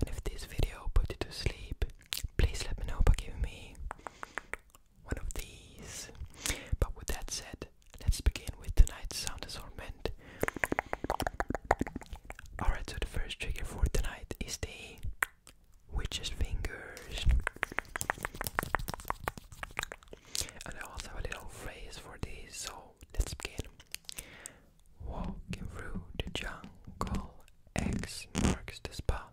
and if this video put you to sleep, please let me know by giving me one of these. But with that said, let's begin with tonight's sound assortment. Alright, so the first trigger for tonight is the witch's fingers. And I also have a little phrase for this, so let's begin. Walking through the jungle, X marks the spot.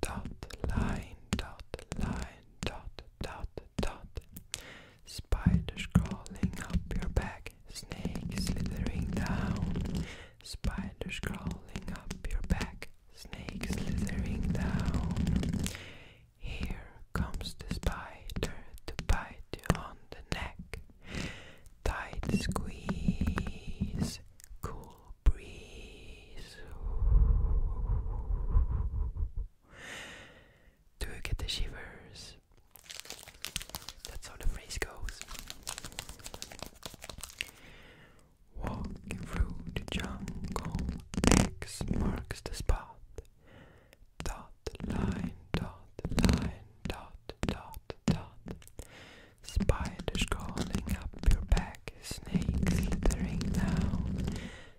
Dot line, dot line, dot, dot, dot. Spiders crawling up your back, snakes slithering down. Spiders crawling up your back, snakes slithering down. Here comes the spider to bite you on the neck. Tight squeeze, cool breeze. Do you get the shivers? That's how the phrase goes. Walking through the jungle, X marks the spot. Dot line, dot line, dot, dot, dot. Spiders crawling up your back, snakes slithering down.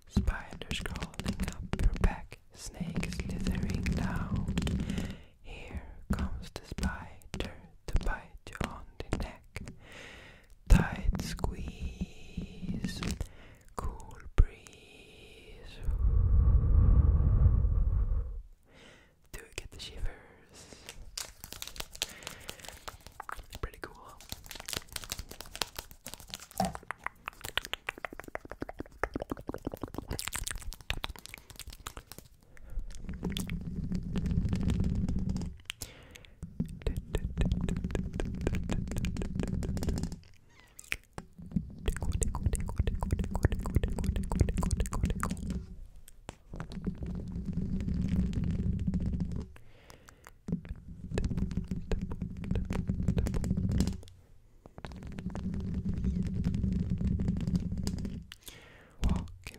Spiders crawling up your back, snakes slithering down. Here comes the spider to bite you on the neck. Tight squeeze, cool breeze. Do get the shivers. Pretty cool. Walking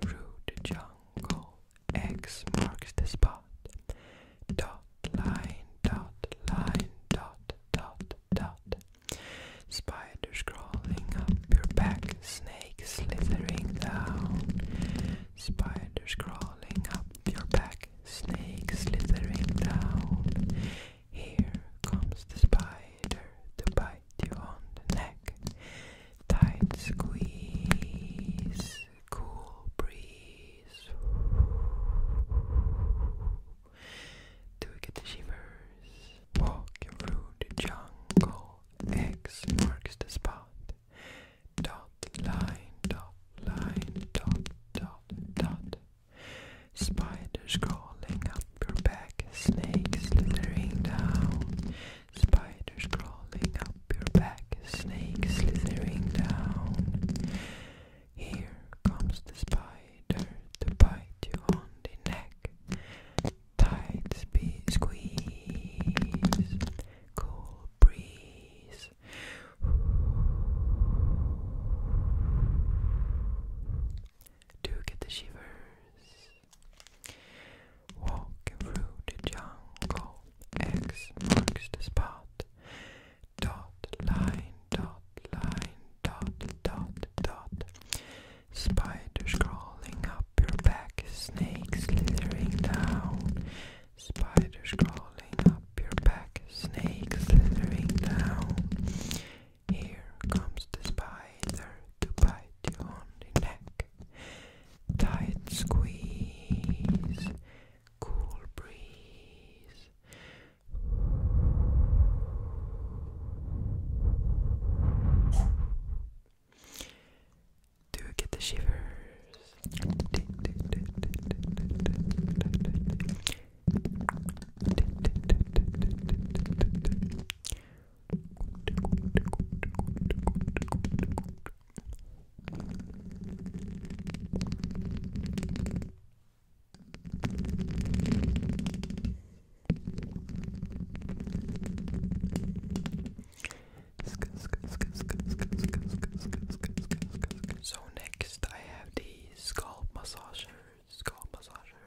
through the jungle, X marks the spot. Dot line, dot line, dot, dot, dot. Spiders crawling up your back, snakes slithering down. Spiders crawling up your back, snakes slithering down. Here comes the spider to bite you on the neck. Tight squeeze, cool breeze. Do we get the shivers? Walking through the jungle. X marks the spot. Dot line, dot line, dot, dot, dot. Spiders crawling up your back, snakes slithering down. Spiders crawling up your back, snakes slithering down. Here comes the spider to bite you on the neck. Tight speed squeeze, cool breeze. Do get the shivers. Walking through the jungle, X marks the spot. Dot line, dot line, dot dot dot. Spiders crawling up your back, snakes slithering down. Spiders crawling up your back, snakes slithering down. Here comes the spider to bite you on the neck. Tight squeeze, cool breeze. Do you get the shivers? So next I have the scalp massagers, scalp massagers.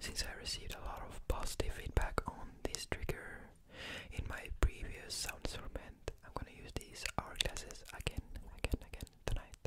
Since I received a lot of positive feedback on this trigger in my previous sound instrument, I'm gonna use these hourglasses again, again, again tonight.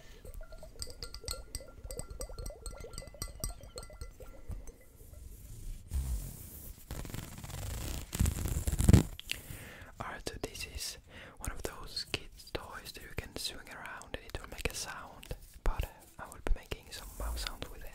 Alright, so this is one of those kids' toys that you can swing around and it will make a sound, but I will be making some mouse sounds with it.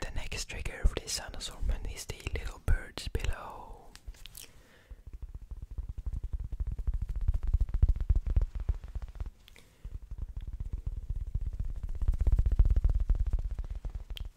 The next trigger for this sound assortment is the little birds below.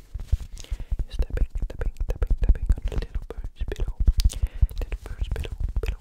You're stepping, stepping, stepping, stepping on the little bird's pillow. Little bird's pillow, pillow.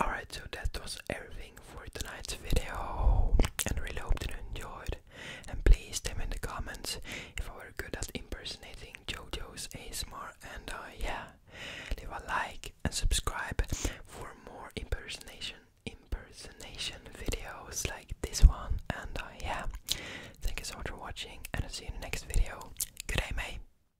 Alright, so that was everything for tonight's video. And really hope you enjoyed. And please tell me in the comments if I were good at impersonating JoJo's ASMR. And uh, yeah, leave a like and subscribe for more impersonation impersonation videos like this one. And uh, yeah, thank you so much for watching. And I'll see you in the next video. Good mate.